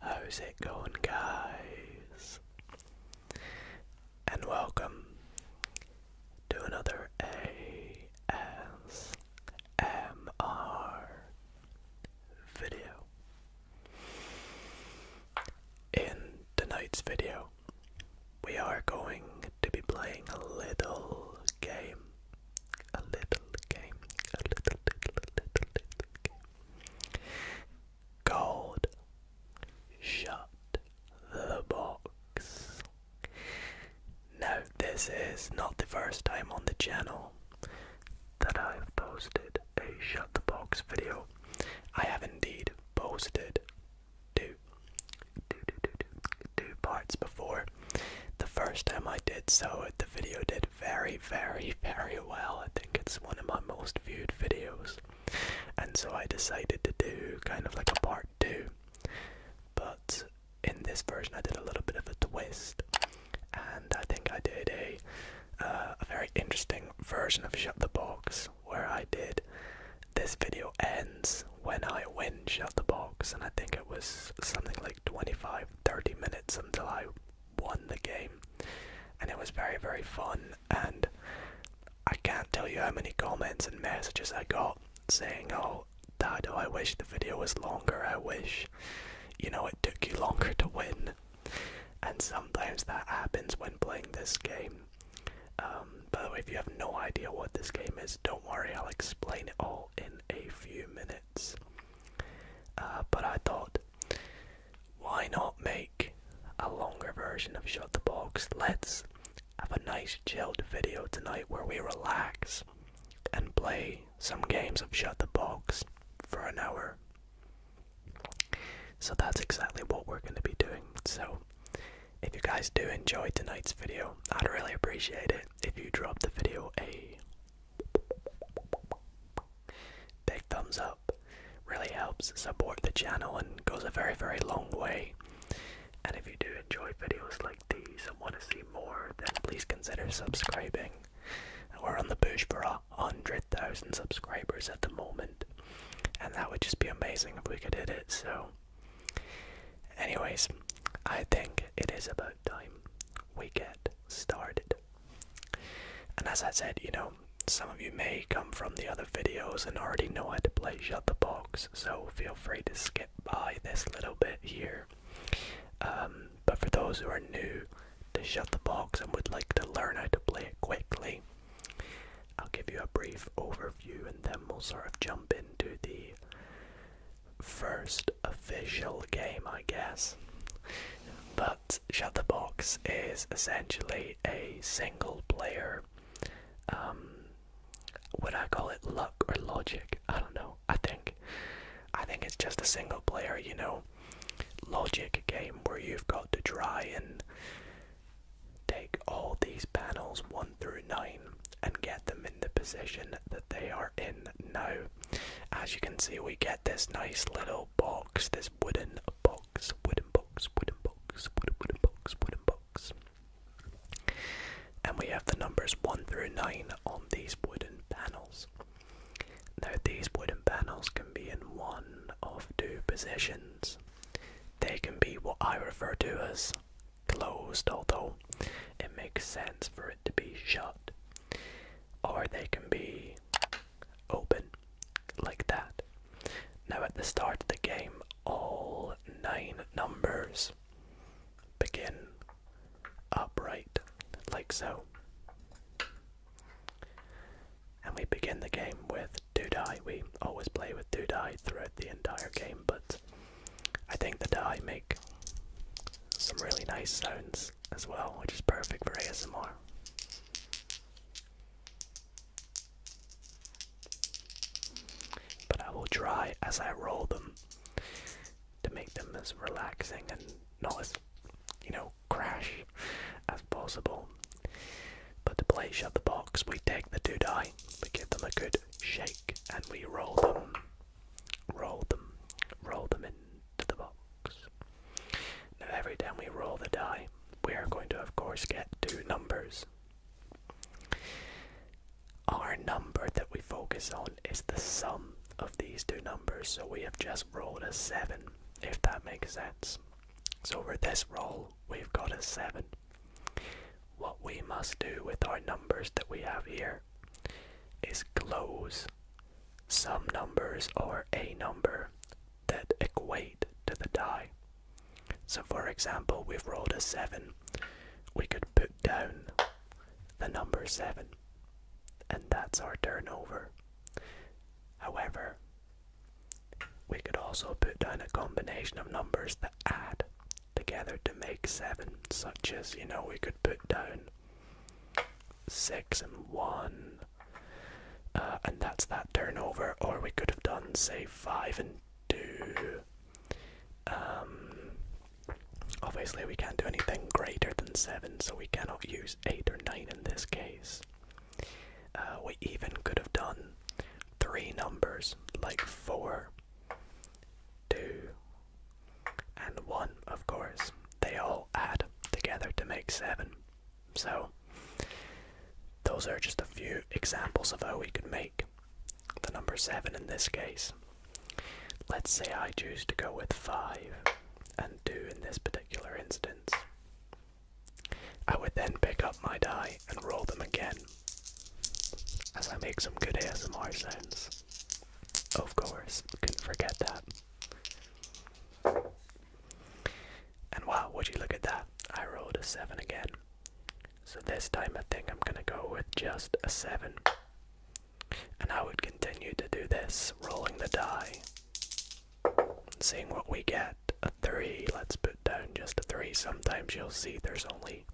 How's it going, guys? And welcome to another ASMR video. In tonight's video, we are going to be playing a little game a little game, a little, little, little, little game. Gold, shut the box. Now, this is not the first time on the channel that I've posted a shut the box video. I have indeed posted two, two, two, two, two, two parts before. The first time I did so, the video did very, very, very well. I think it's one of my most viewed videos. And so I decided to do kind of like a part two. But in this version, I did a little bit of a twist. And I think I did a, uh, a very interesting version of Shut the Box where I did this video ends when I win Shut the Box. And I think it was something like. 25 30 minutes until I won the game. And it was very, very fun. And I can't tell you how many comments and messages I got saying, Oh, Dado, I wish the video was longer. I wish, you know, it took you longer to win. And sometimes that happens when playing this game. by the way, if you have no idea what this game is, don't worry, I'll explain it all in a few minutes. Uh, but I thought, why not make a longer version of Shut the Box? Let's have a nice chilled video tonight where we relax and play some games of Shut the Box for an hour. So that's exactly what we're going to be doing. So if you guys do enjoy tonight's video, I'd really appreciate it if you drop the video a Big thumbs up really helps support the channel and goes a very, very long way. And if you do enjoy videos like these and want to see more, then please consider subscribing. We're on the push for a hundred thousand subscribers at the moment, and that would just be amazing if we could hit it. So, Anyways, I think it is about time we get started. And as I said, you know, some of you may come from the other videos and already know how to play Shut the Box, so feel free to skip by this little bit here. Um, but for those who are new to Shut the Box and would like to learn how to play it quickly, I'll give you a brief overview and then we'll sort of jump into the first official game, I guess. But Shutterbox is essentially a single player. Um, would I call it luck or logic? I don't know. I think, I think it's just a single player, you know, logic game where you've got to try and take all these panels one through nine and get them in the position that they are in now. As you can see, we get this nice little box, this wooden box, wooden box, wooden box, wooden, box, wooden box. And we have the numbers 1 through 9 on these wooden panels. Now, these wooden panels can be in one of two positions. They can be what I refer to as closed, although it makes sense for to be shut, or they can be open like that. Now, at the start of the game, all nine numbers begin upright, like so. And we begin the game with two die. We always play with two die throughout the entire game, but I think the die make some really nice sounds as well, which is perfect for ASMR. But I will try as I roll them to make them as relaxing and not as, you know, crash as possible. But to play Shut the Box, we take the two die, we give them a good shake, and we roll them roll them, roll them into the box. Now every time we roll the die, we are going to of course get two numbers. Our number that we focus on is the sum of these two numbers, so we have just rolled a 7, if that makes sense. So with this roll, we've got a 7. What we must do with our numbers that we have here is close. Some numbers or a number that equate to the die. So, for example, we've rolled a 7. We could put down the number 7, and that's our turnover. However, we could also put down a combination of numbers that add together to make seven, such as, you know, we could put down six and one, uh, and that's that turnover, or we could have done, say, five and two. Um, obviously, we can't do anything greater than seven, so we cannot use eight or nine in this case. Uh, we even could have done three numbers like four, two, and 1, of course. They all add together to make 7. So, those are just a few examples of how we could make the number 7 in this case. Let's say I choose to go with 5 and 2 in this particular instance. I would then pick up my die and roll them again as I make some good ASMR sounds. Of course, couldn't forget that. And wow, would you look at that? I rolled a 7 again. So this time I think I'm gonna go with just a 7. And I would continue to do this, rolling the die. Seeing what we get. A 3, let's put down just a 3. Sometimes you'll see there's only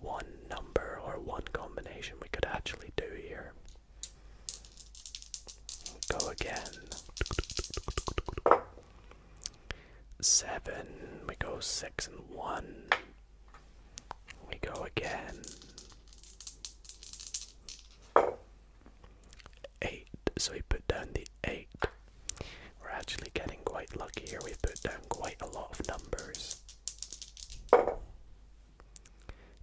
one number or one combination we could actually do here. Go again. Seven. We go six and one. We go again. Eight. So we put down the eight. We're actually getting quite lucky here. We've put down quite a lot of numbers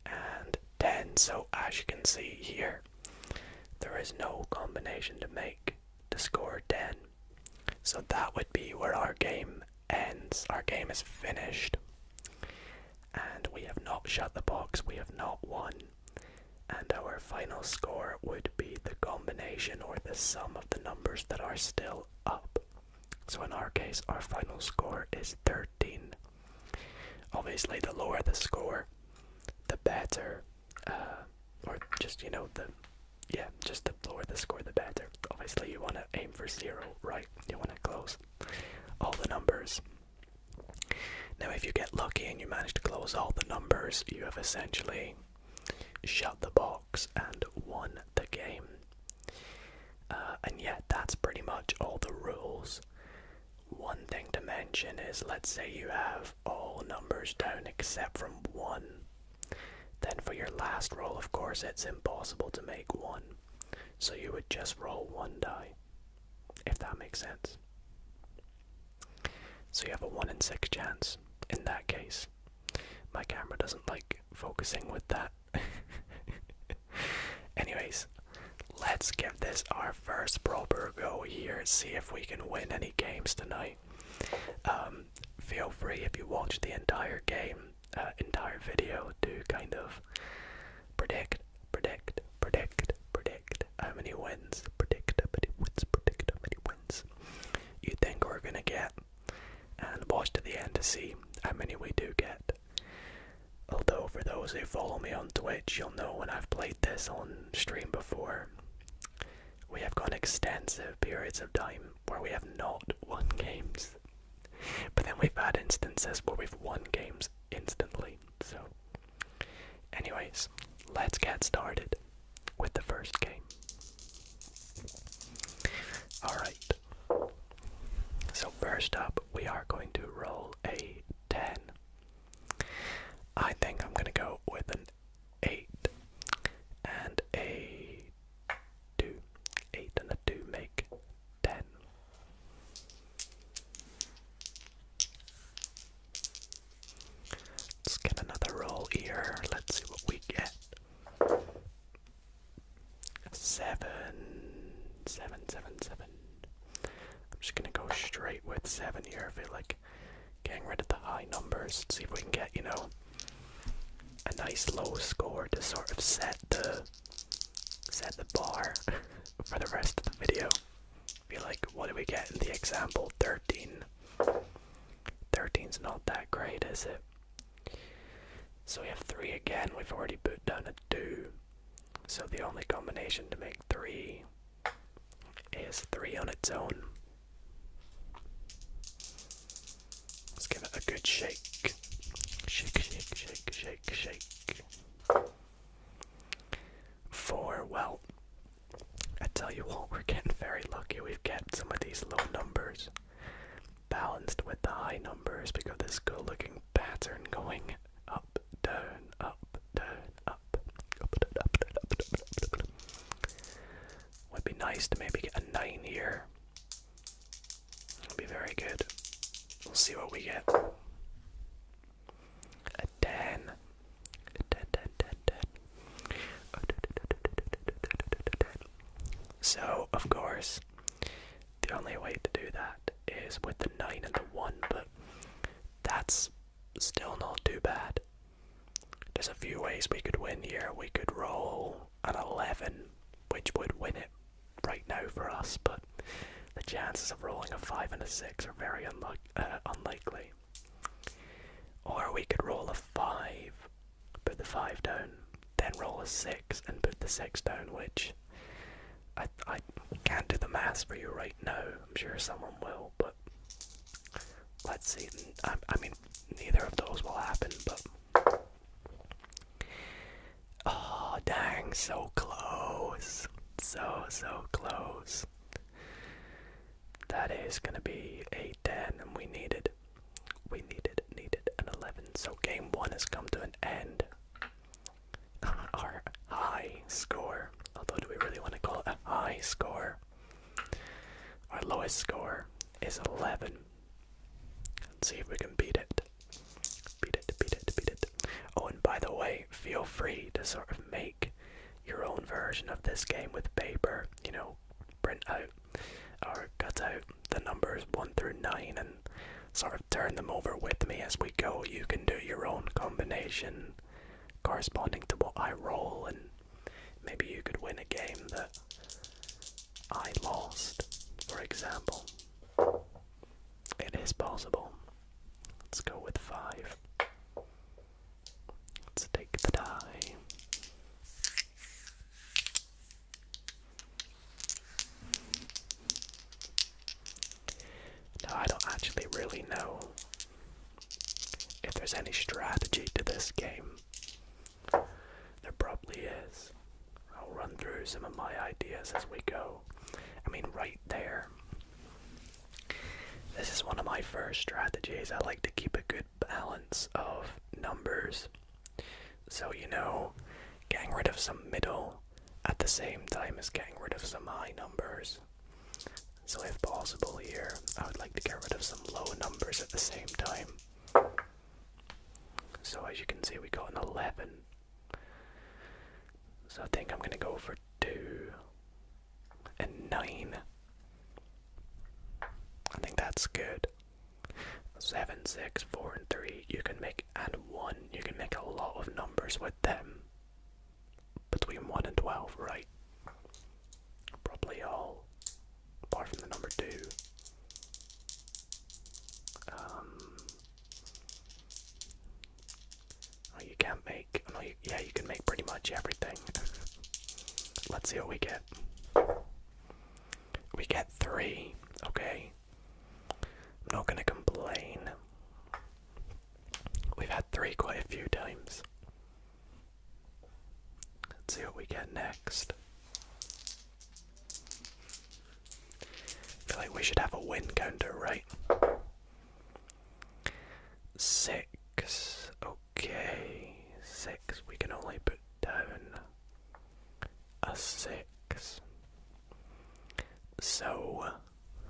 and 10. So as you can see here, there is no combination to make to score 10. So that would be where our game ends. Our game is finished. And we have not shut the box, we have not won. And our final score would be the combination or the sum of the numbers that are still up. So in our case, our final score is 13. Obviously, the lower the score, the better, uh, or just, you know, the, yeah, just the lower the score, the better. Obviously, you want to aim for zero, right? You want to close all the numbers. Now, if you get lucky and you manage to close all the numbers, you have essentially shut the box and won the game. Uh, and yet, that's pretty much all the rules. One thing to mention is let's say you have all numbers down except from one. Then for your last roll, of course, it's impossible to make one. So you would just roll one die, if that makes sense. So you have a 1 in 6 chance in that case. My camera doesn't like focusing with that Anyways, let's give this our first proper go here. See if we can win any games tonight. Um, feel free if you watch the entire game, uh, entire video, to kind of predict, predict, predict, predict how many wins, predict how many wins, predict how many wins you think we're gonna get and watch to the end to see how many we do get. Although, for those who follow me on Twitch, you'll know when I've played this on stream before, we have gone extensive periods of time where we have not won games. But then we've had instances where we've won games instantly. So, anyways, let's get started with the first game. Alright, so, first up, we are going to roll a 10. I think I'm going to go with an 8 and a 2. 8 and a 2 make 10. Let's get another roll here. Let's see what we get seven, seven, seven, seven. I'm just gonna go straight with seven here. I feel like getting rid of the high numbers. see if we can get you know a nice low score to sort of set the set the bar for the rest of the video. Be like, what do we get in the example? Thirteen. 13's not that great, is it? So we have 3 again, we've already put down a 2. So the only combination to make 3 is 3 on its own. Let's give it a good shake. Shake, shake, shake, shake, shake. 4, well, I tell you what, we're getting very lucky. We've got some of these little numbers balanced with the high numbers. We got this good looking pattern going up, down, up, down, up, up, down, up, down, up, down, up, down. Would be nice to maybe get a 9 here. It'll be very good. We'll see what we get. A 10. A 10, 10, 10, 10. So, of course, the only way to do that is with the 9 and the 1, but that's still not too bad. There's a few ways we could win here. We could roll an 11, which would win it right now for us, but the chances of rolling a 5 and a 6 are very unlu uh, unlikely. Or we could roll a 5 put the five down, then roll a six and put the six down, which I I can't do the math for you right now. I'm sure someone will, but let's see. I, I mean, neither of those will happen, but oh dang, so close, so so close. That is gonna be a ten, and we needed we needed needed an 11, so game one has come to an end. Our high score, although do we really want to call it a high score? Our lowest score is 11. Let's see if we can beat it. Beat it, beat it, beat it. Oh, and by the way, feel free to sort of make your own version of this game with paper. You know, print out or cut out the numbers 1 through 9 and sort of turn them over with me as we go. You can do your own combination corresponding to what I roll, and maybe you could win a game that I lost, for example. It is possible. Let's go with 5. Let's take the die. Now, I don't actually really know if there's any strategy to this game. There probably is. I'll run through some of my ideas as we go. I mean, right there. This is one of my first strategies. I like to keep a good balance of numbers so, you know, getting rid of some middle at the same time as getting rid of some high numbers. So, if possible, here, I would like to get rid of some low numbers at the same time. So, as you can see, we got an 11. So, I think I'm going to go for 2 and 9. I think that's good. Seven, six, four, and three. You can make and one. You can make a lot of numbers with them. Between one and twelve, right? Probably all, apart from the number two. Um. Oh, you can't make. Oh, no, you, yeah, you can make pretty much everything. Let's see what we get. We get three. Okay. I'm not going to complain. We've had three quite a few times. Let's see what we get next. feel like we should have a win counter, right? Six. Okay, six. We can only put down a 6. So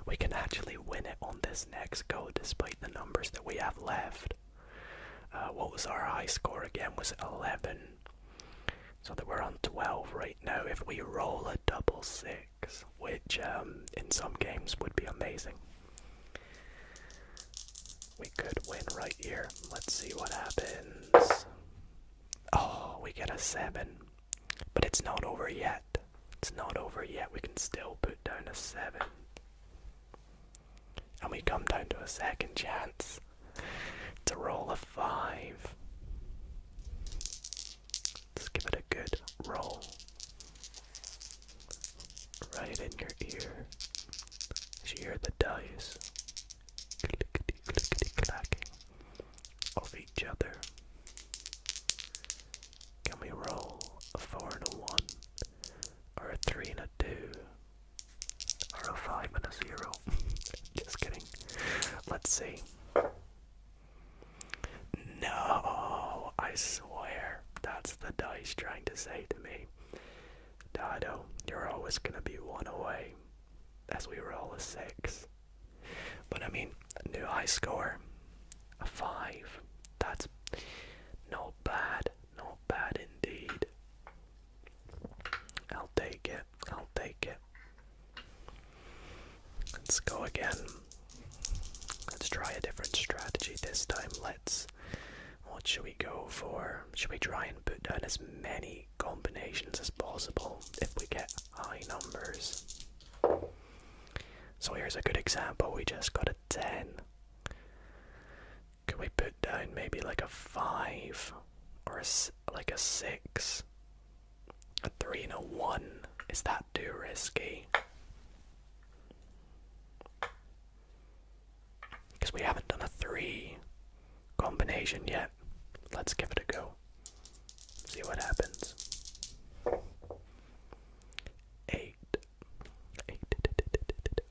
we can actually win it on this next go despite the numbers that we have left. Uh, what was our high score again? Was it 11? So that we're on 12 right now if we roll a double six, which um, in some games would be amazing. We could win right here. Let's see what happens. Oh, we get a 7. But it's not over yet. It's not over yet. We can still put down a 7. And we come down to a second chance to roll a 5. Let's give it a good roll. Right in your ear. You hear the dice clickety clickety clacking of each other. Can we roll a four and a one, or a three and a two, or a five and a zero? Just kidding. Let's see. No, I swear that's the dice trying to say to me, Dado, you're always gonna be one away as we roll a six. But I mean, new high score, a five. That's not bad, not bad indeed. I'll take it, I'll take it. Let's go again. Let's try a different strategy this time. Let's. What should we go for? Should we try and put down as many combinations as possible if we get high numbers. So here's a good example, we just got a 10. Can we put down maybe like a 5 or a, like a 6? A 3 and a 1? Is that too risky? Because we haven't done a 3 combination yet. Let's give it a go. See what happens. Eight. Eight.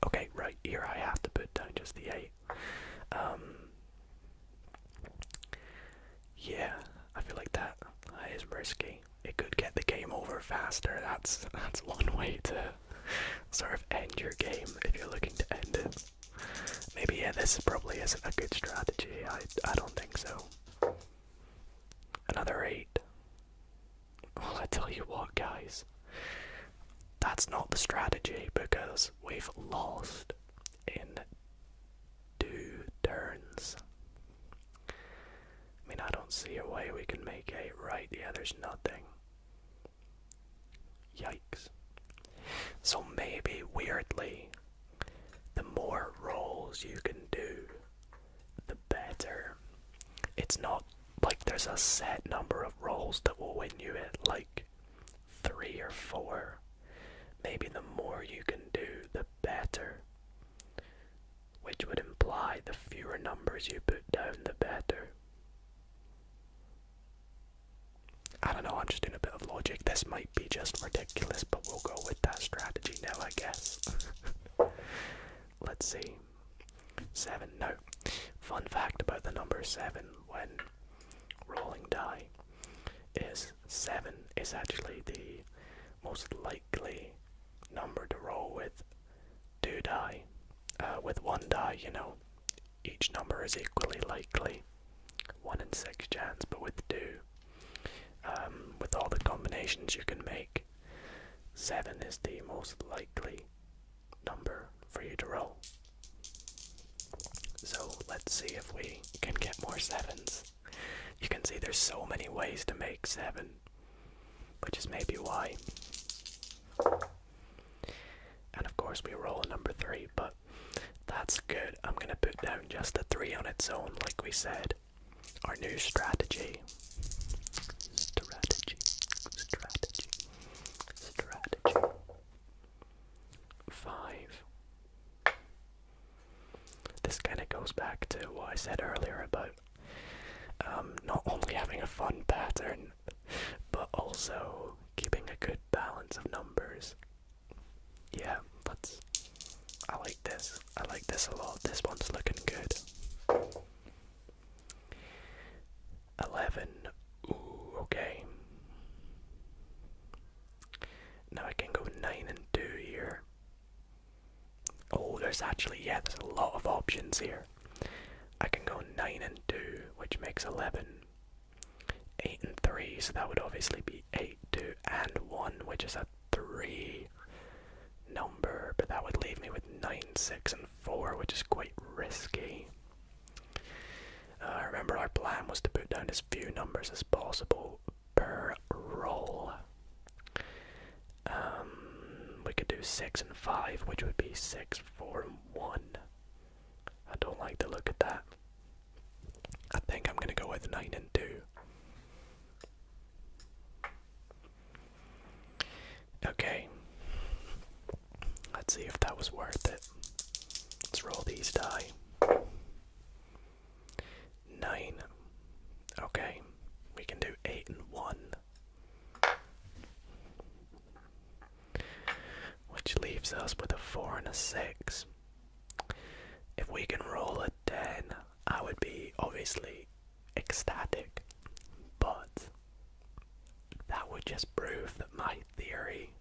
Okay, right here I have to put down just the eight. Um. Yeah, I feel like that is risky. It could get the game over faster. That's that's one way to sort of end your game if you're looking to end it. Maybe yeah, this probably isn't a good strategy. I I don't think so. Another eight. Well, I tell you what, guys, that's not the strategy because we've lost in two turns. I mean, I don't see a way we can make eight right. Yeah, there's nothing. Yikes. So maybe weirdly, the more rolls you can do, the better. It's not like there's a set number of rolls that will win you it, like three or four. Maybe the more you can do, the better. Which would imply the fewer numbers you put down, the better. I don't know, I'm just doing a bit of logic. This might be just ridiculous, but we'll go with that strategy now, I guess. Let's see. Seven. No. Fun fact about the number seven when rolling die is seven is actually the most likely number to roll with two die. Uh, with one die, you know. Each number is equally likely, one in six chance, but with two, um, with all the combinations you can make, seven is the most likely number for you to roll. So let's see if we can get more sevens. You can see there's so many ways to make seven, which is maybe why and of course, we roll a number three, but that's good. I'm gonna put down just a three on its own, like we said. Our new strategy. Strategy. Strategy. Strategy. Five. This kind of goes back to what I said earlier about um, not only having a fun pattern but also keeping a good balance of numbers. Yeah, let's. I like this. I like this a lot. This one's looking good. 11. Ooh, okay. Now I can go 9 and 2 here. Oh, there's actually, yeah, there's a lot of options here. I can go 9 and 2, which makes 11. 8 and 3, so that would obviously be 8, 2, and 1, which is a 3 number, but that would leave me with 9, 6, and 4, which is quite risky. Uh, remember, our plan was to put down as few numbers as possible per roll. Um, we could do 6 and 5, which would be 6, 4, and 1. I don't like the look of that. I think I'm gonna go with nine and two. Okay. Let's see if that was worth it. Let's roll these die. Nine. Okay. We can do eight and one which leaves us with a 4 and a 6. If we can roll a 10, I would be obviously ecstatic, but that would just prove that my theory,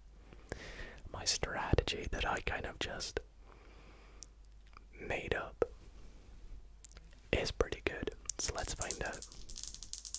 my strategy that I kind of just made up is pretty good. So let's find out.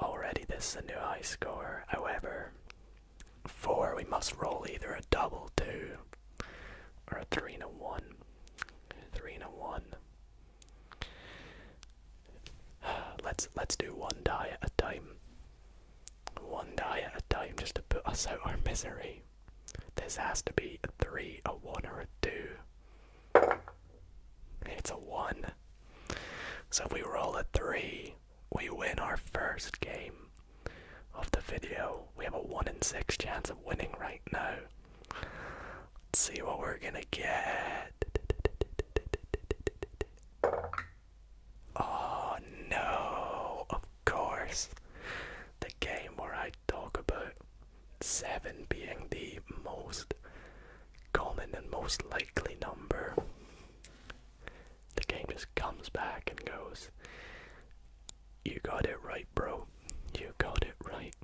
Already this is a new high score. However, four we must roll either a double two or a three and a one. Three and a one. Let's let's do one die at a time. One die at a time just to put us out our misery. This has to be a three, a one, or a two. It's a 1. So if we roll a 3, we win our first game of the video. We have a 1 in 6 chance of winning right now. Let's see what we're gonna get. Oh no, of course. The game where I talk about 7 being the most common and most likely number. The game just comes back and goes, You got it right, bro. You got it right.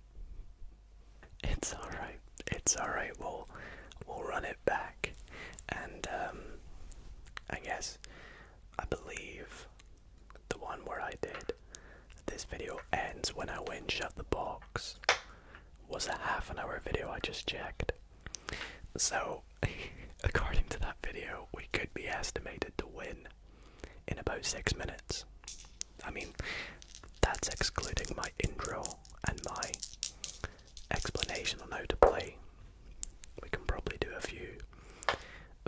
It's alright. It's alright. We'll, we'll run it back. And, um, I guess, I believe the one where I did this video ends when I win Shut the Box was a half an hour video I just checked. So, according to that video, we could be estimated to win in about six minutes. I mean, that's excluding my intro and my explanation on how to play. We can probably do a few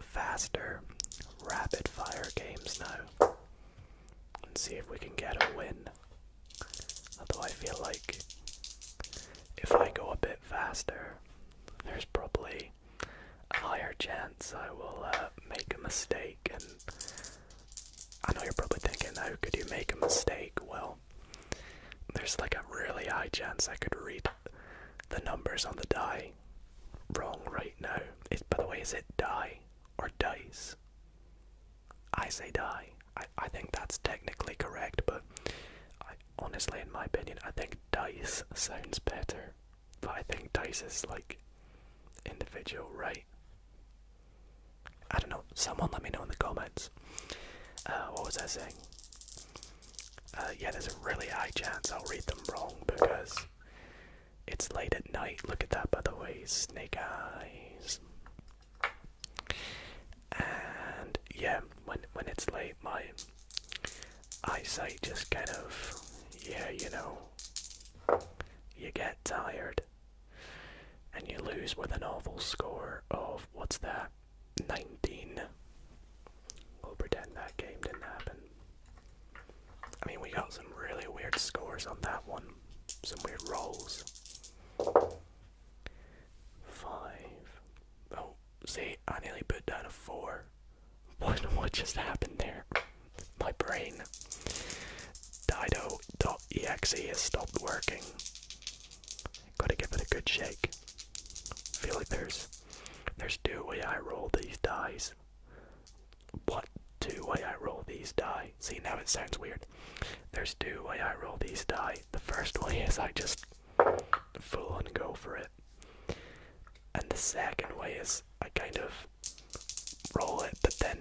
faster, rapid fire games now and see if we can get a win. Although I feel like if I go a bit faster, there's probably a higher chance I will uh, make a mistake. And I know you're probably thinking, how oh, could you make a mistake? Well, there's like a really high chance I could read the numbers on the die wrong right now. is by the way, is it die or dice? I say die. I, I think that's technically correct, but honestly, in my opinion, I think dice sounds better. But I think dice is like individual, right? I don't know. Someone let me know in the comments. Uh, what was I saying? Uh, yeah, there's a really high chance I'll read them wrong because it's late at night. Look at that, by the way. Snake eyes. And yeah, when when it's late, my eyesight just kind of yeah, you know, you get tired, and you lose with an awful score of what's that, nineteen. We'll pretend that game didn't happen. I mean, we got some really weird scores on that one some weird rolls. Five. Oh, see, I nearly put down a four. What, what just happened there? My brain. Dido.exe has stopped working. Gotta give it a good shake. feel like there's there's two way I roll these dice what two way I roll these die. See now it sounds weird. There's two way I roll these die. The first way is I just full on go for it. And the second way is I kind of roll it but then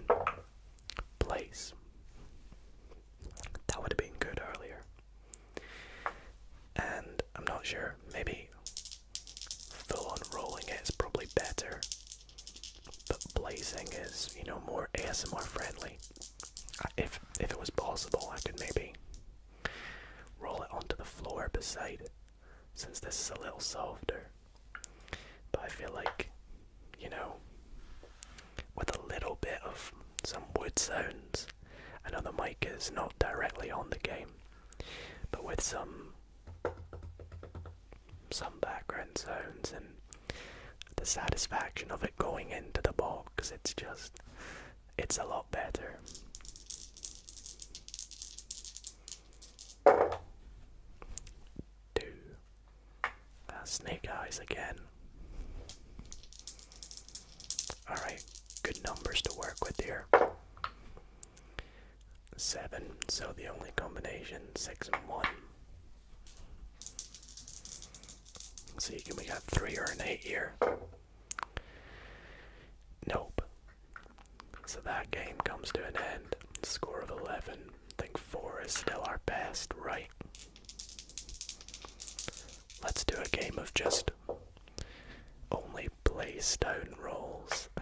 place. That would have been good earlier. And I'm not sure, maybe full on rolling it is probably better but blazing is, you know, more ASMR friendly. If if it was possible, I could maybe roll it onto the floor beside it, since this is a little softer. But I feel like, you know, with a little bit of some wood sounds. I know the mic is not directly on the game, but with some some background sounds and the satisfaction of it going into the box. It's just, it's a lot better. Two. Uh, snake eyes again. Alright, good numbers to work with here. Seven, so the only combination, six and one see, we got three or an eight here? Nope. So that game comes to an end. Score of 11. I think 4 is still our best, right? Let's do a game of just only play stone rolls.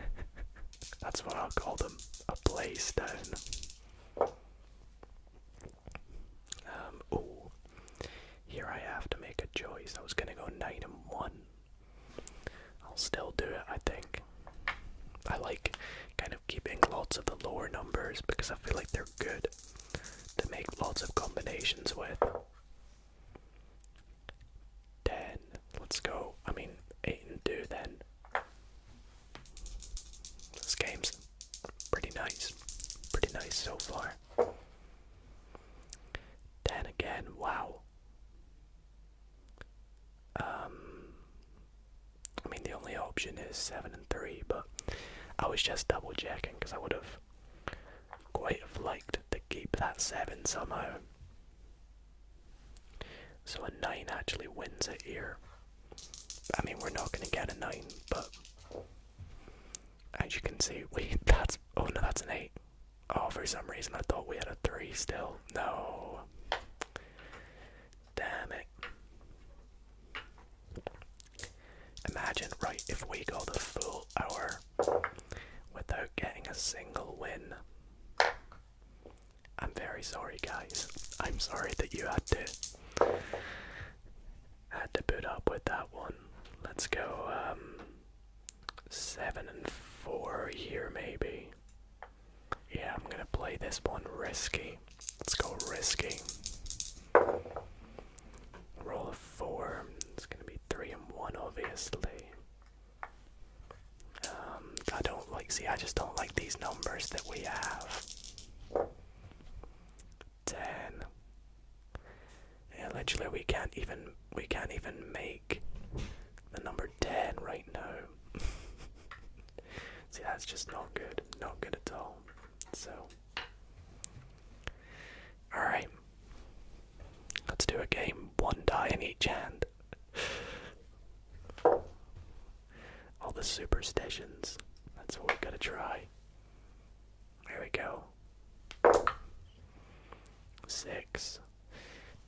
That's what I'll call them a play stone. Um, oh, here I have to make a choice. I was gonna go nine and one. I'll still do it, I think. I like kind of keeping lots of the lower numbers because I feel like they're good to make lots of combinations with. 10, let's go. I mean, 8 and 2 then. This game's pretty nice. Pretty nice so far. Then again, wow. Um, I mean, the only option is 7 and 3, but I was just double checking because I would have quite have liked to keep that 7 somehow. So a 9 actually wins a here. I mean, we're not going to get a 9, but as you can see, wait, that's. Oh no, that's an 8. Oh, for some reason I thought we had a 3 still. No. Damn it. Imagine, right, if we go the full hour without getting a single win. I'm very sorry, guys. I'm sorry that you had to had to put up with that one. Let's go um, seven and four here, maybe. Yeah, I'm gonna play this one risky. Let's go risky. Roll a four. It's gonna be three and one, obviously. Um, I don't like, see, I just don't like these numbers that we have. 10. Yeah, literally we can't even, we can't even make the number 10 right now. see, that's just not good, not good at all. So, alright, let's do a game, one die in each hand. All the superstitions. That's what we gotta try. There we go. Six.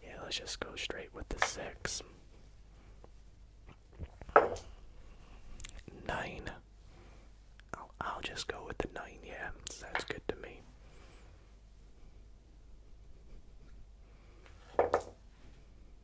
Yeah, let's just go straight with the six. Nine. I'll, I'll just go with the nine, yeah. Sounds good to me.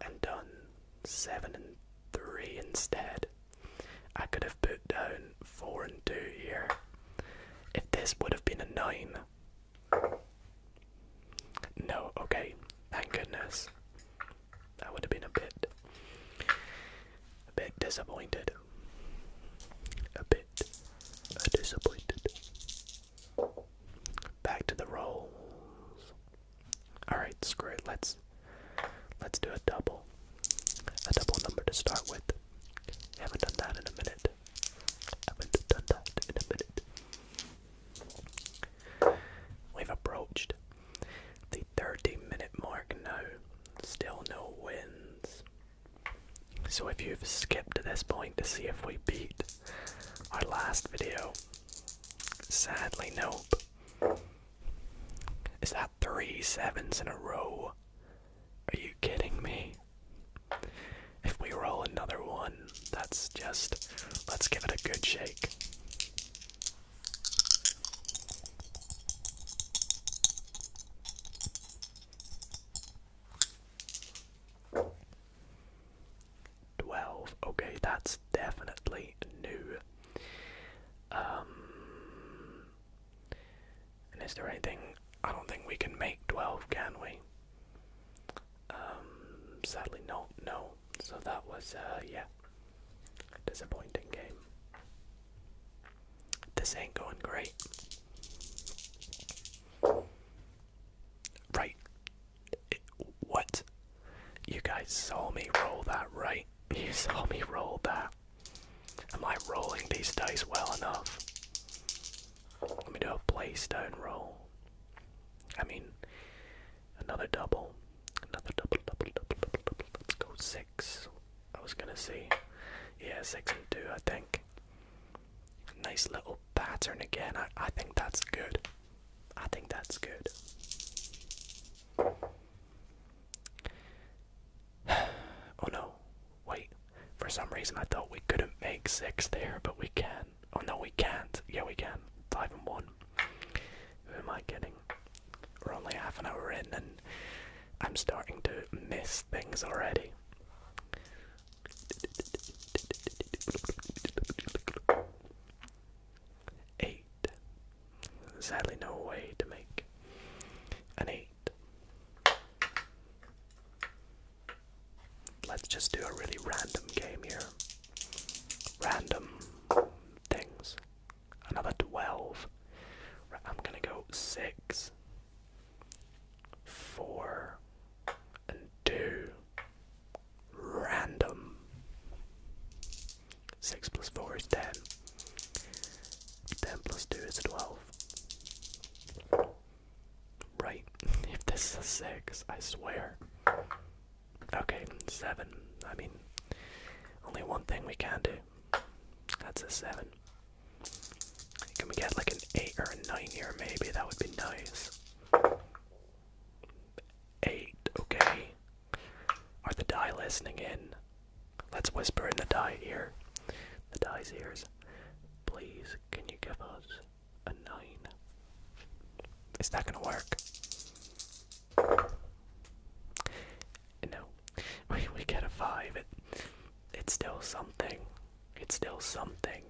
and done seven and three instead. I could have put down four and two here. If this would have been a nine. No, okay, thank goodness. I would have been a bit a bit disappointed. A bit disappointed. Back to the rolls. Alright, screw it. Let's let's do a double. A double number to start with. Haven't done that in a minute. Haven't done that in a minute. We've approached the 30 minute mark now. Still no wins. So if you've skipped to this point to see if we beat our last video, sadly nope. Is that three sevens in a row? Are you kidding me? If we roll another one, that's just. Let's give it a good shake. 12. Okay, that's definitely new. Um, and is there anything? I don't think we can make 12, can we? Um, sadly, no, No. So that was, uh, yeah, a disappointing game. This ain't going great. Right. what? You guys saw me roll that, right? You saw me roll that. Am I rolling these dice well enough? Let me do a playstone roll. I mean, another double. Another double, double, double, double, double. Let's go six. I was gonna see. Yeah, six and two, I think. Nice little pattern again. I, I think that's good. I think that's good. oh no, wait. For some reason I thought we couldn't make six there, but we can. Oh no, we can't. Yeah, we can. Five and one. Who am I kidding? We're only half an hour in and I'm starting to miss things already eight. Sadly, no way to make an eight. Let's just do a really random game here. Random things. Another 12. I'm gonna go 6, 4, and 2. Random. 6 plus 4 is 10. 10 plus 2 is 12. Right, if this is a 6, I swear. Okay, 7. I mean, only one thing we can do. That's a 7. Can we get like an 8 or a 9 here, maybe? That would be nice. 8, okay. Are the die listening in? Let's whisper in the die ear. The die's ears. Please, can you give us a nine? It's not gonna work? No. We get a five. It, it's still something. It's still something.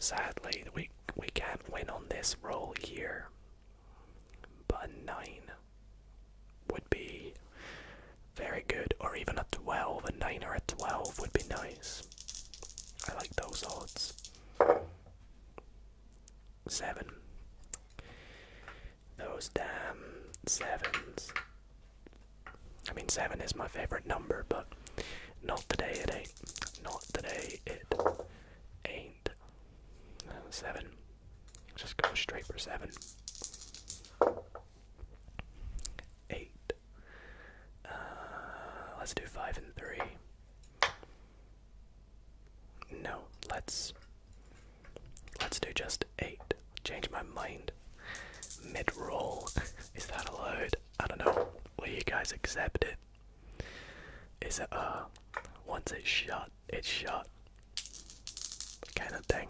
Sadly, the week we can't win on this roll here. But a nine would be very good, or even a twelve. A nine or a twelve would be nice. I like those odds. Seven. Those damn sevens. I mean, seven is my favorite number, but not today it ain't. Not today it eight, seven. Just go straight for seven. Eight. Uh, let's do five and three. No, let's let's do just eight. Change my mind. Mid roll. Is that allowed? I don't know. Will you guys accept it? is that uh once it's shut, it's shut kind of thing.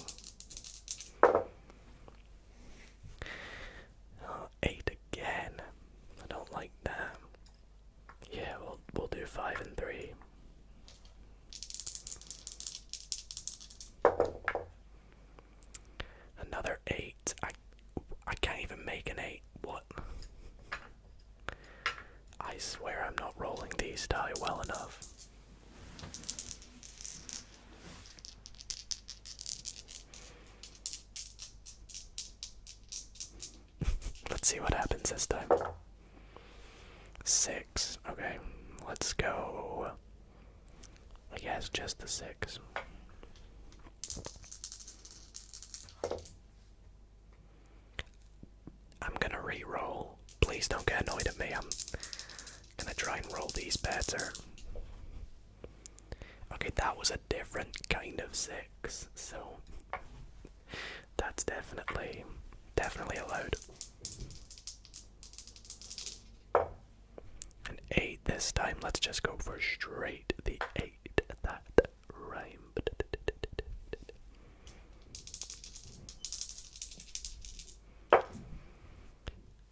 Oh, eight again. I don't like that. Yeah, we'll we'll do five and three. Another eight. I I can't even make an eight. What? I swear I'm not rolling these die well enough. let's see what happens this time. Six. Okay, let's go. I guess just the six. I'm gonna re-roll. Please don't get annoyed at me. I'm gonna try and roll these better. Okay, that was a different kind of six, so that's definitely definitely allowed. An eight this time. Let's just go for straight the eight. That rhyme.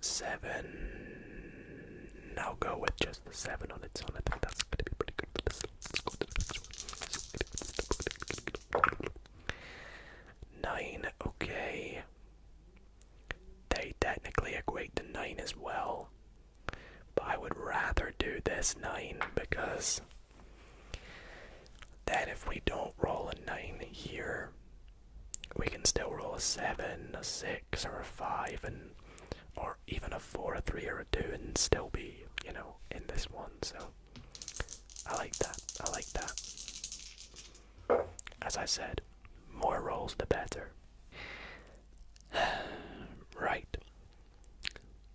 Seven. Now go with just seven on its own. that's going to be pretty good Nine. Okay. They technically equate to nine as well. But I would rather do this 9 because then if we don't roll a 9 here, we can still roll a 7, a 6, or a 5, and or even a 4, a 3, or a 2, and still be, you know, in this one. So I like that. I like that. As I said, more rolls the better. right,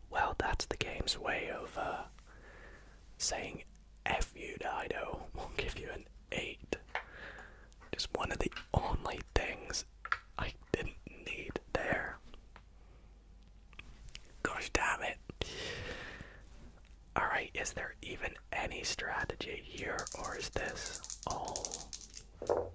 well, that's the game's way over. Uh, saying F you, Dido. We'll give you an 8. Just one of the only things I didn't need there. Gosh damn it. Alright, is there even any strategy here, or is this all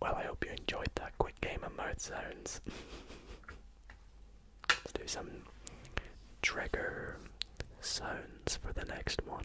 Well, I hope you enjoyed that quick game of mouth sounds. Let's do some trigger sounds for the next one.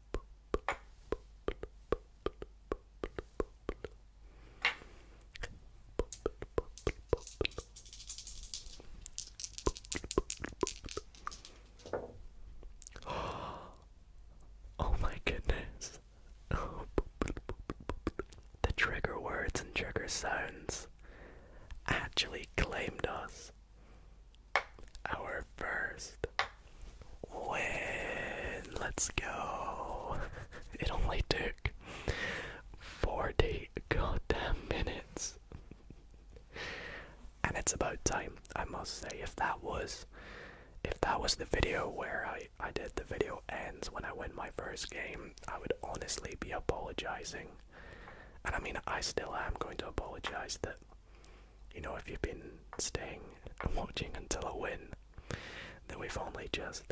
Oh, my goodness. the trigger words and trigger sounds actually claimed us our first win. Let's go. It only took 40 goddamn minutes. And it's about time, I must say, if that was if that was the video where I, I did the video ends when I win my first game, I would honestly be apologizing. And I mean, I still am going to apologize that you know, if you've been staying and watching until a win, then we've only just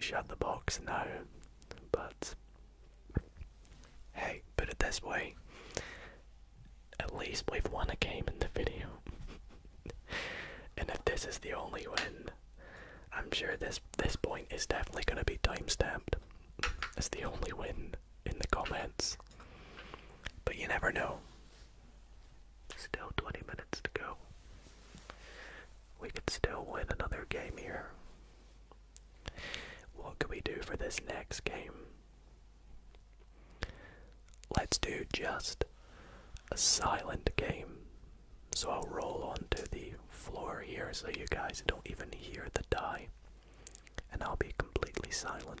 shut the box now. But hey, put it this way at least we've won a game in the video. and if this is the only win, I'm sure this this point is definitely gonna be time stamped. It's the only win in the comments. But you never know. Still 20 minutes to go. We could still win another game here. What can we do for this next game? Let's do just a silent game. So I'll roll onto the floor here so you guys don't even hear the die and I'll be completely silent.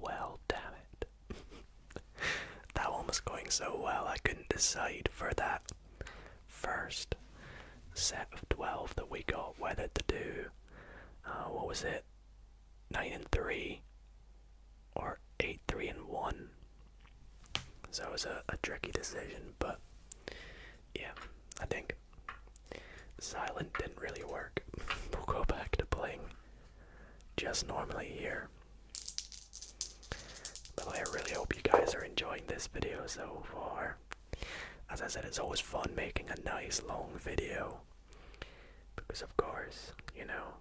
Well, damn it. that one was going so well, I couldn't decide for that first set of 12 that we got weathered to do. Uh, what was it? 9 and 3 or 8, 3 and 1. So it was a tricky decision, but yeah, I think Silent didn't really work. we'll go back to playing just normally here. But I really hope you guys are enjoying this video so far. As I said, it's always fun making a nice long video. Because, of course, you know,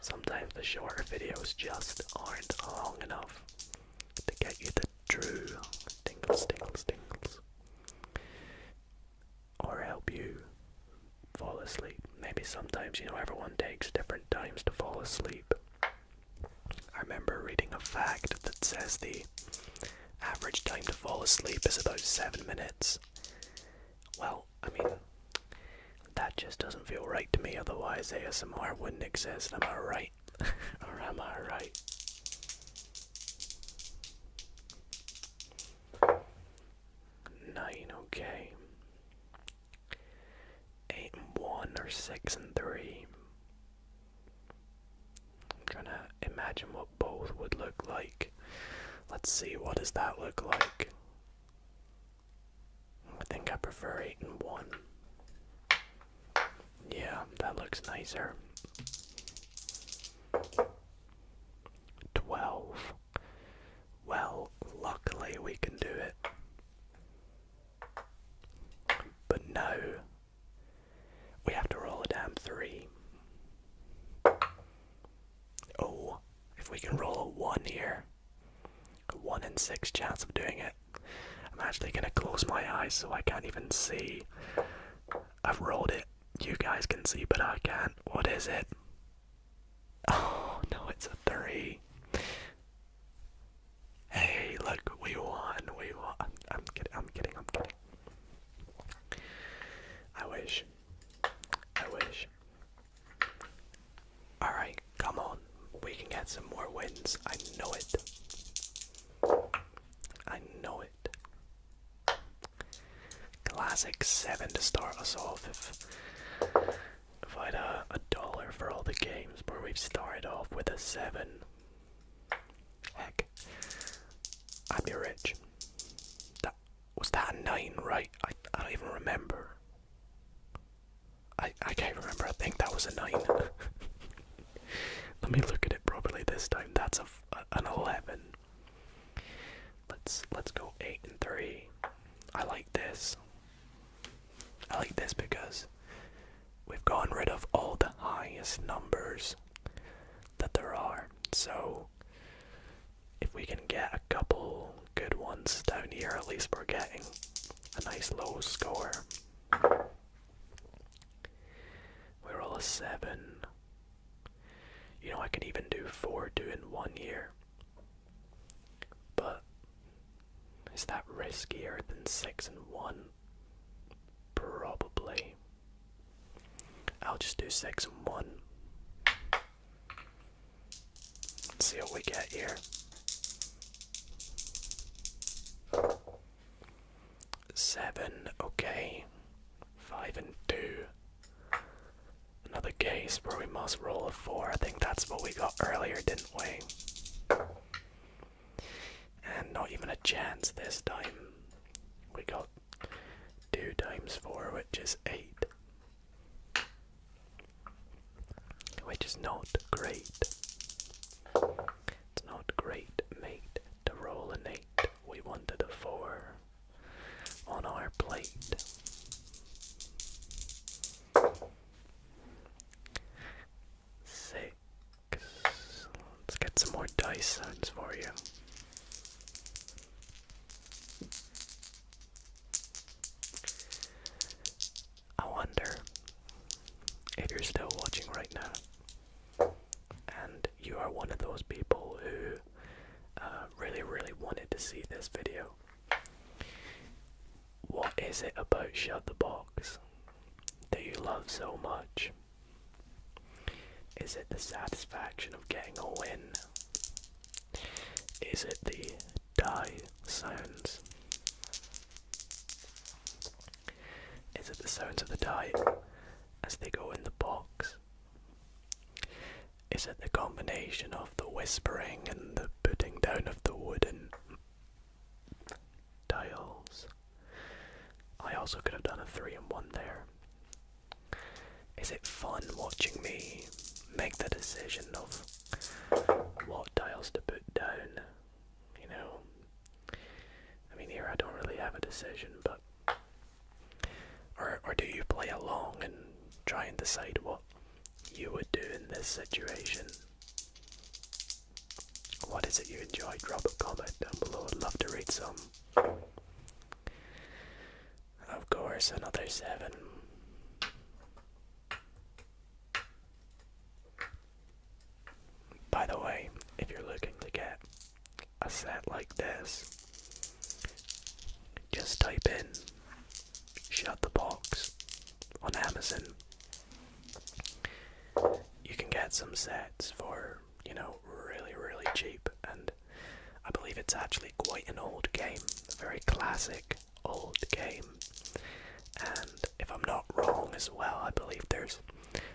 sometimes the shorter videos just aren't long enough to get you the true tingles, tingles, tingles or help you fall asleep. Maybe sometimes, you know, everyone takes different times to fall asleep. I remember reading a fact that says the average time to fall asleep is about seven minutes. Well, I mean, that just doesn't feel right to me, otherwise, ASMR wouldn't exist. Am I right? or am I right? Nine, okay. Eight and one or six and three. I'm trying to imagine what both would look like. Let's see, what does that look like? I think I prefer eight and one. Yeah, that looks nicer. 12. Well, luckily we can do it. But no, we have to roll a damn 3. Oh, if we can roll a 1 here, a 1 in 6 chance of doing it. I'm actually going to close my eyes so I can't even see. I've rolled it you guys can see, but I can't. What is it? Oh, no, it's a three. Hey, look, we won. We won. I'm, I'm kidding. I'm kidding. I'm kidding. I wish. I wish. Alright, come on. We can get some more wins. I know it. I know it. Classic seven to start us off. If I had uh, a, dollar for all the games where we've started off with a seven, heck, I'd be rich. That was that nine, right? I I don't even remember. I I can't remember. I think that was a nine. Let me look at it properly this time. That's a an eleven. Let's let's go eight and three. I like this. I like this because we've gotten rid of all the highest numbers that there are. So if we can get a couple good ones down here, at least we're getting a nice low score. We're all a seven. You know, I can even do four due in one year. But is that riskier than six and one? Probably. I'll just do six and one. see what we get here. Seven, okay. Five and two. Another case where we must roll a 4. I think that's what we got earlier, didn't we? And not even a chance this time. We got 2 times 4, which is 8. Which is not great. It's not great, mate, to roll an 8. We wanted a 4 on our plate. Six. Let's get some more dice sounds for you. I wonder if you're still watching right now and you are one of those people who uh, really, really wanted to see this video. What is it about Shut the Box that you love so much? Is it the satisfaction of getting a win? Is it the die sounds? Is it the sounds of the die as they go in the box? Is it the combination of the whispering and the putting down of the wooden tiles? I also could have done a three and one there. Is it fun watching me make the decision of what tiles to put down? You know, I mean, here I don't really have a decision, but or, or do you play along and try and decide what you would do in this situation? What is it you enjoy? Drop a comment down below, I'd love to read some. Of course, another seven. By the way, if you're looking to get a set like this, just type in Shut the Box on Amazon. You can get some sets for, you know, really, really cheap, and I believe it's actually quite an old game, a very classic old game. And if I'm not wrong as well, I believe there's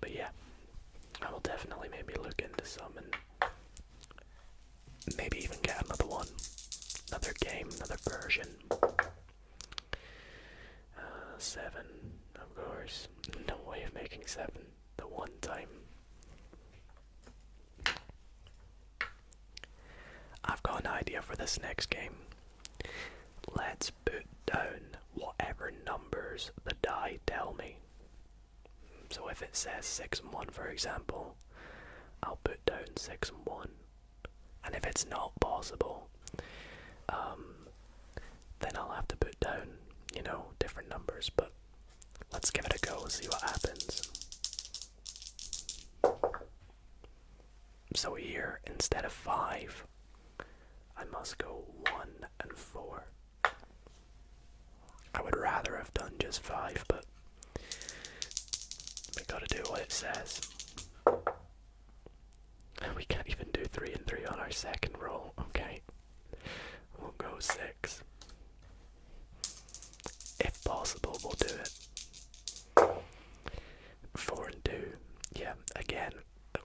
but yeah, I will definitely maybe look into some and maybe even get another one, another game, another version. Uh, seven, of course. No way of making seven the one time. I've got an idea for this next game. Let's put down whatever numbers the die tell me. So if it says 6 and 1, for example, I'll put down 6 and 1. And if it's not possible, um, then I'll have to put down, you know, different numbers. But let's give it a go and see what happens. So here, instead of 5, I must go 1 and 4. I would rather have done just five, but we gotta do what it says. We can't even do three and three on our second roll, okay? We'll go six. If possible, we'll do it. Four and two. Yeah, again,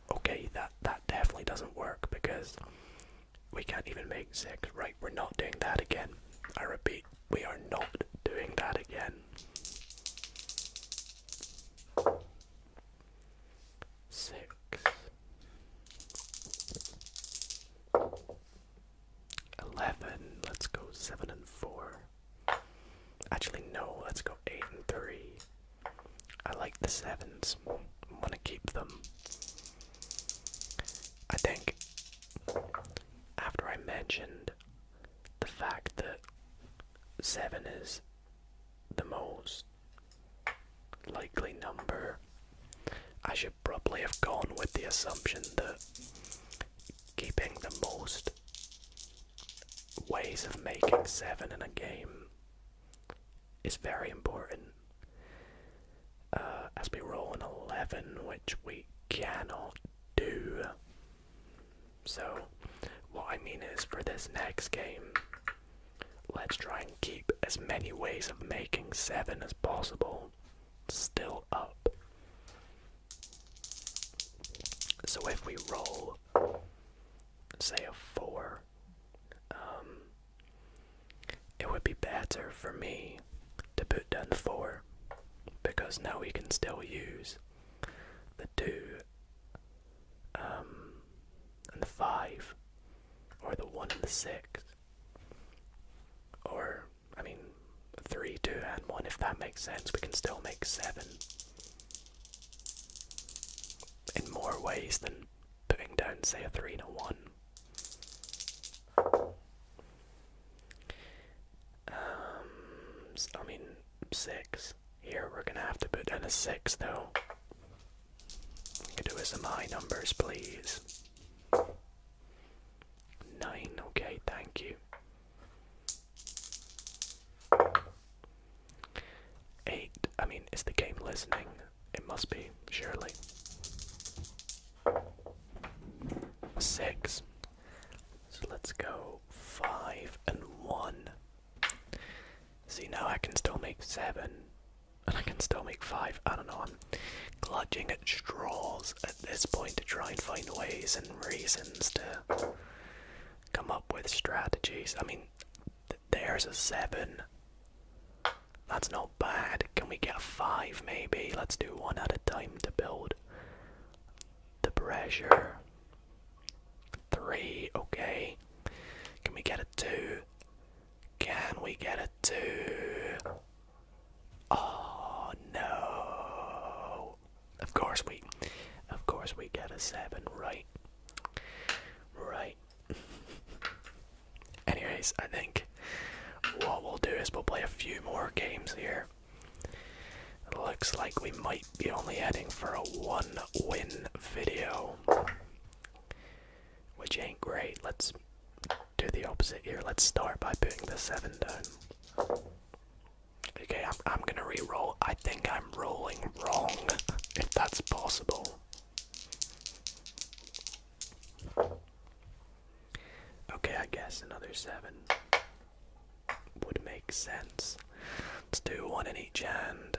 okay, that that definitely doesn't work because we can't even make six. Right, we're not doing that again. I repeat, we are not doing that again. Six. Eleven. Let's go seven and four. Actually, no, let's go eight and three. I like the sevens. I want to keep them. I think after I mentioned the fact that seven is the most likely number, I should probably have gone with the assumption that keeping the most ways of making seven in a game is very important. Uh, as we roll an 11, which we cannot do. So, what I mean is, for this next game, let's try and keep as many ways of making 7 as possible still up. So, if we roll, say, a 4, um, it would be better for me to put down 4 because now we can still use the 2 um, and the 5 or the 1 and the 6 or I mean 3, 2 and 1 if that makes sense we can still make 7 in more ways than putting down say a 3 and a 1 um, I mean, six. Here we're gonna have to put in a six though. We can do some high numbers, please. Nine, okay, thank you. Eight, I mean, is the game listening? It must be, surely. Six. So let's go five and one. See, now I can still make seven, and I can still make five. I don't know, I'm clutching at straws at this point to try and find ways and reasons to come up with strategies. I mean, there's a seven. That's not bad. Can we get a five maybe? Let's do one at a time to build the pressure. Three, okay. Can we get a two? Can we get a two? Oh no. Of course we of course we get a seven, right? Right. Anyways, I think what we'll do is we'll play a few more games here. It looks like we might be only heading for a one win video. Which ain't great. Let's do the opposite here. Let's start by putting the seven down. Okay, I'm, I'm gonna re-roll. I think I'm rolling wrong, if that's possible. Okay, I guess another seven would make sense. Let's do one in each hand.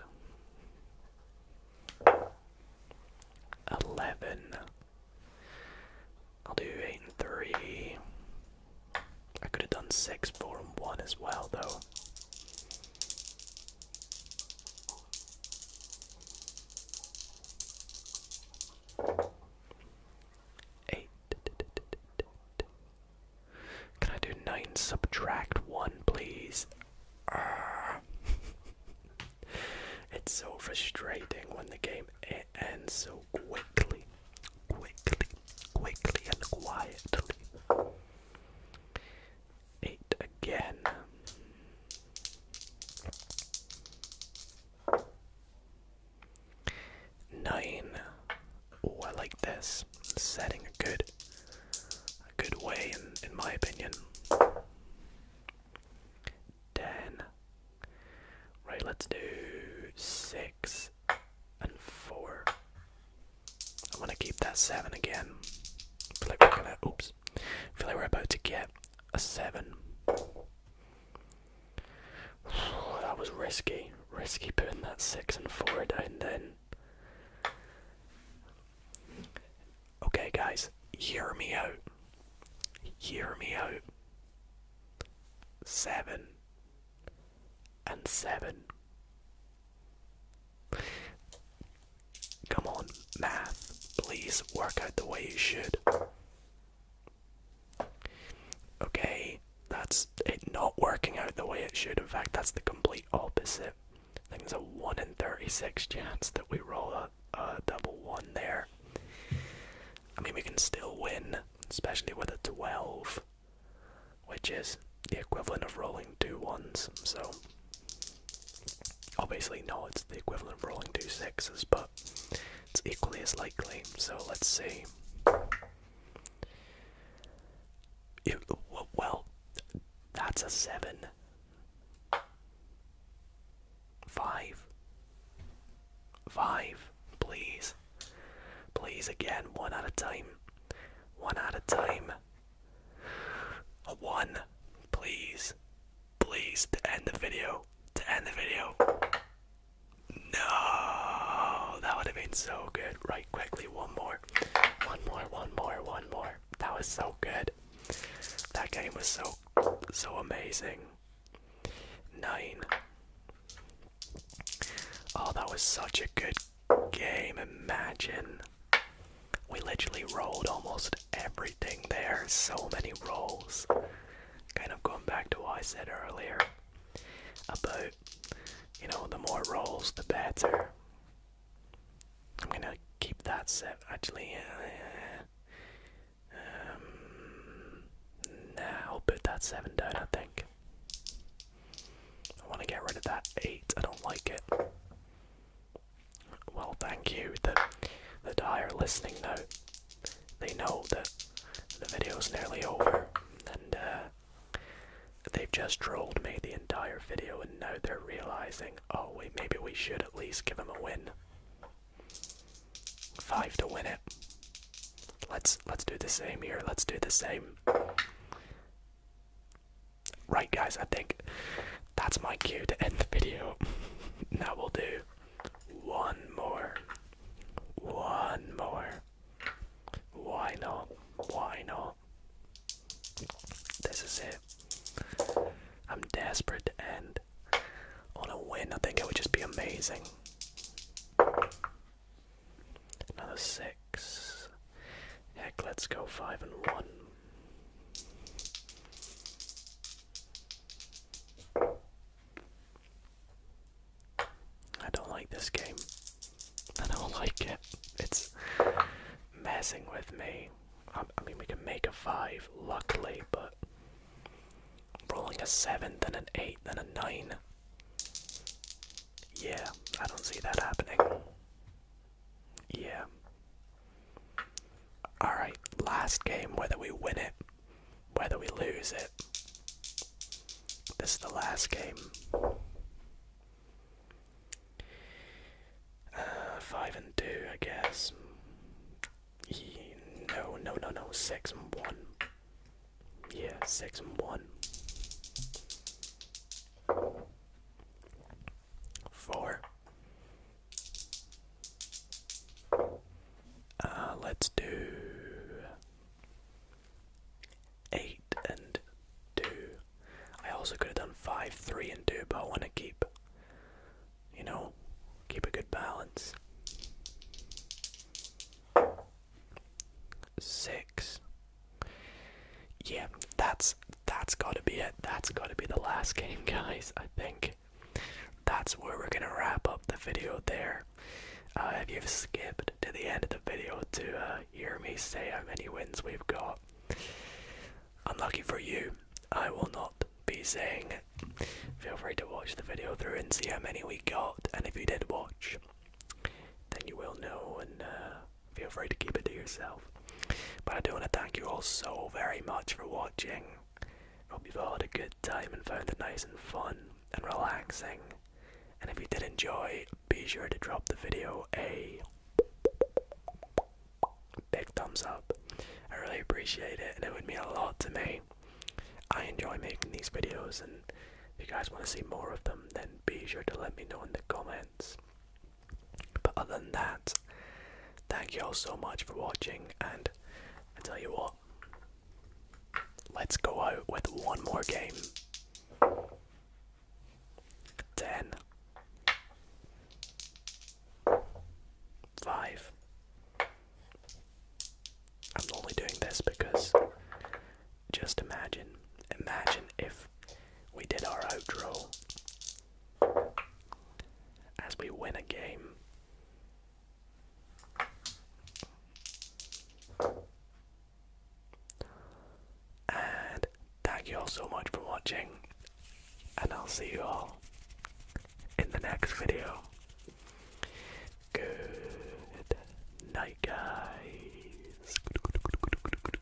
Eleven. I'll do eight and three. I could have done six, four, and one as well, though. Eight. Can I do nine subtract one, please? Ah. it's so frustrating when the game ends so quickly, quickly, quickly, and quietly eight again. Nine. Oh, I like this. Setting a good a good way in my opinion. Ten. Right, let's do six and four. I wanna keep that seven again. Like we're gonna oops. I feel like we're about to get a seven. that was risky. Risky putting that six and four down then. Okay, guys, hear me out. Hear me out. Seven and seven. Come on, math. Please work out the way you should. Okay, that's it not working out the way it should. In fact, that's the complete opposite. I think there's a 1 in 36 chance that we roll a, double one there. I mean, we can still win, especially with a 12, which is the equivalent of rolling two ones. So Obviously no, it's the equivalent of rolling two sixes, but it's equally as likely. So let's see. well, that's a seven. Five. Five, please. Please, again, one at a time. One at a time. A one, please, please, to end the video, to end the video. No, that would have been so good. Right, quickly, one more, one more, one more, one more. That was so good. That game was so, so amazing. Nine. Oh, that was such a good game. Imagine we literally rolled almost everything there. So many rolls. Kind of going back to what I said earlier about, you know, the more rolls, the better. I'm gonna keep that set actually. Uh, um, nah, I'll put that 7 down, I think. I want to get rid of that 8, I don't like it well, thank you The the die listening now. They know that the video's nearly over, and uh, they've just trolled me the entire video, and now they're realizing, oh wait, maybe we should at least give them a win. Five to win it. Let's let's do the same here. Let's do the same. Right, guys, I think that's my cue to end the video. now we'll do one more. One more. Why not? Why not? This is it. I'm desperate to end on a win. I think it would just be amazing. Another six. Heck, let's go five and one. I don't like this game. I don't like it. It's messing with me. I, mean, we can make a 5, luckily, but rolling a 7, then an 8, then a 9. Yeah, I don't see that happening. Yeah. Alright, last game, whether we win it, whether we lose it. This is the last game. Uh, five and two, I guess. No, no, no, no. Six and one. Yeah, six and one. Four. Uh, let's do eight and two. I also could have done five, three, and two, but I want to keep, you know, keep a good balance. Six. Yeah, that's that's got to be it. That's got to be the last game, guys. I think that's where we're going to wrap up the video there. Uh, if you've skipped to the end of the video to uh, hear me say how many wins we've got, unlucky for you, I will not be saying. Feel free to watch the video through and see how many we got, and if you did watch, then you will know and uh, feel free to keep it to yourself. But I do want to thank you all so very much for watching. Hope you've all had a good time and found it nice and fun and relaxing. And if you did enjoy, be sure to drop the video a big thumbs up. I really appreciate it and it would mean a lot to me. I enjoy making these videos and if you guys want to see more of them then be sure to let me know in the comments. But other than that, thank you all so much for watching, and I tell you what, let's go out with one more game. 10 I'm only doing this because just imagine, imagine if we did our outro as we win a game. And thank you all so much for watching, and I'll see you all in the next video. Good night, guys.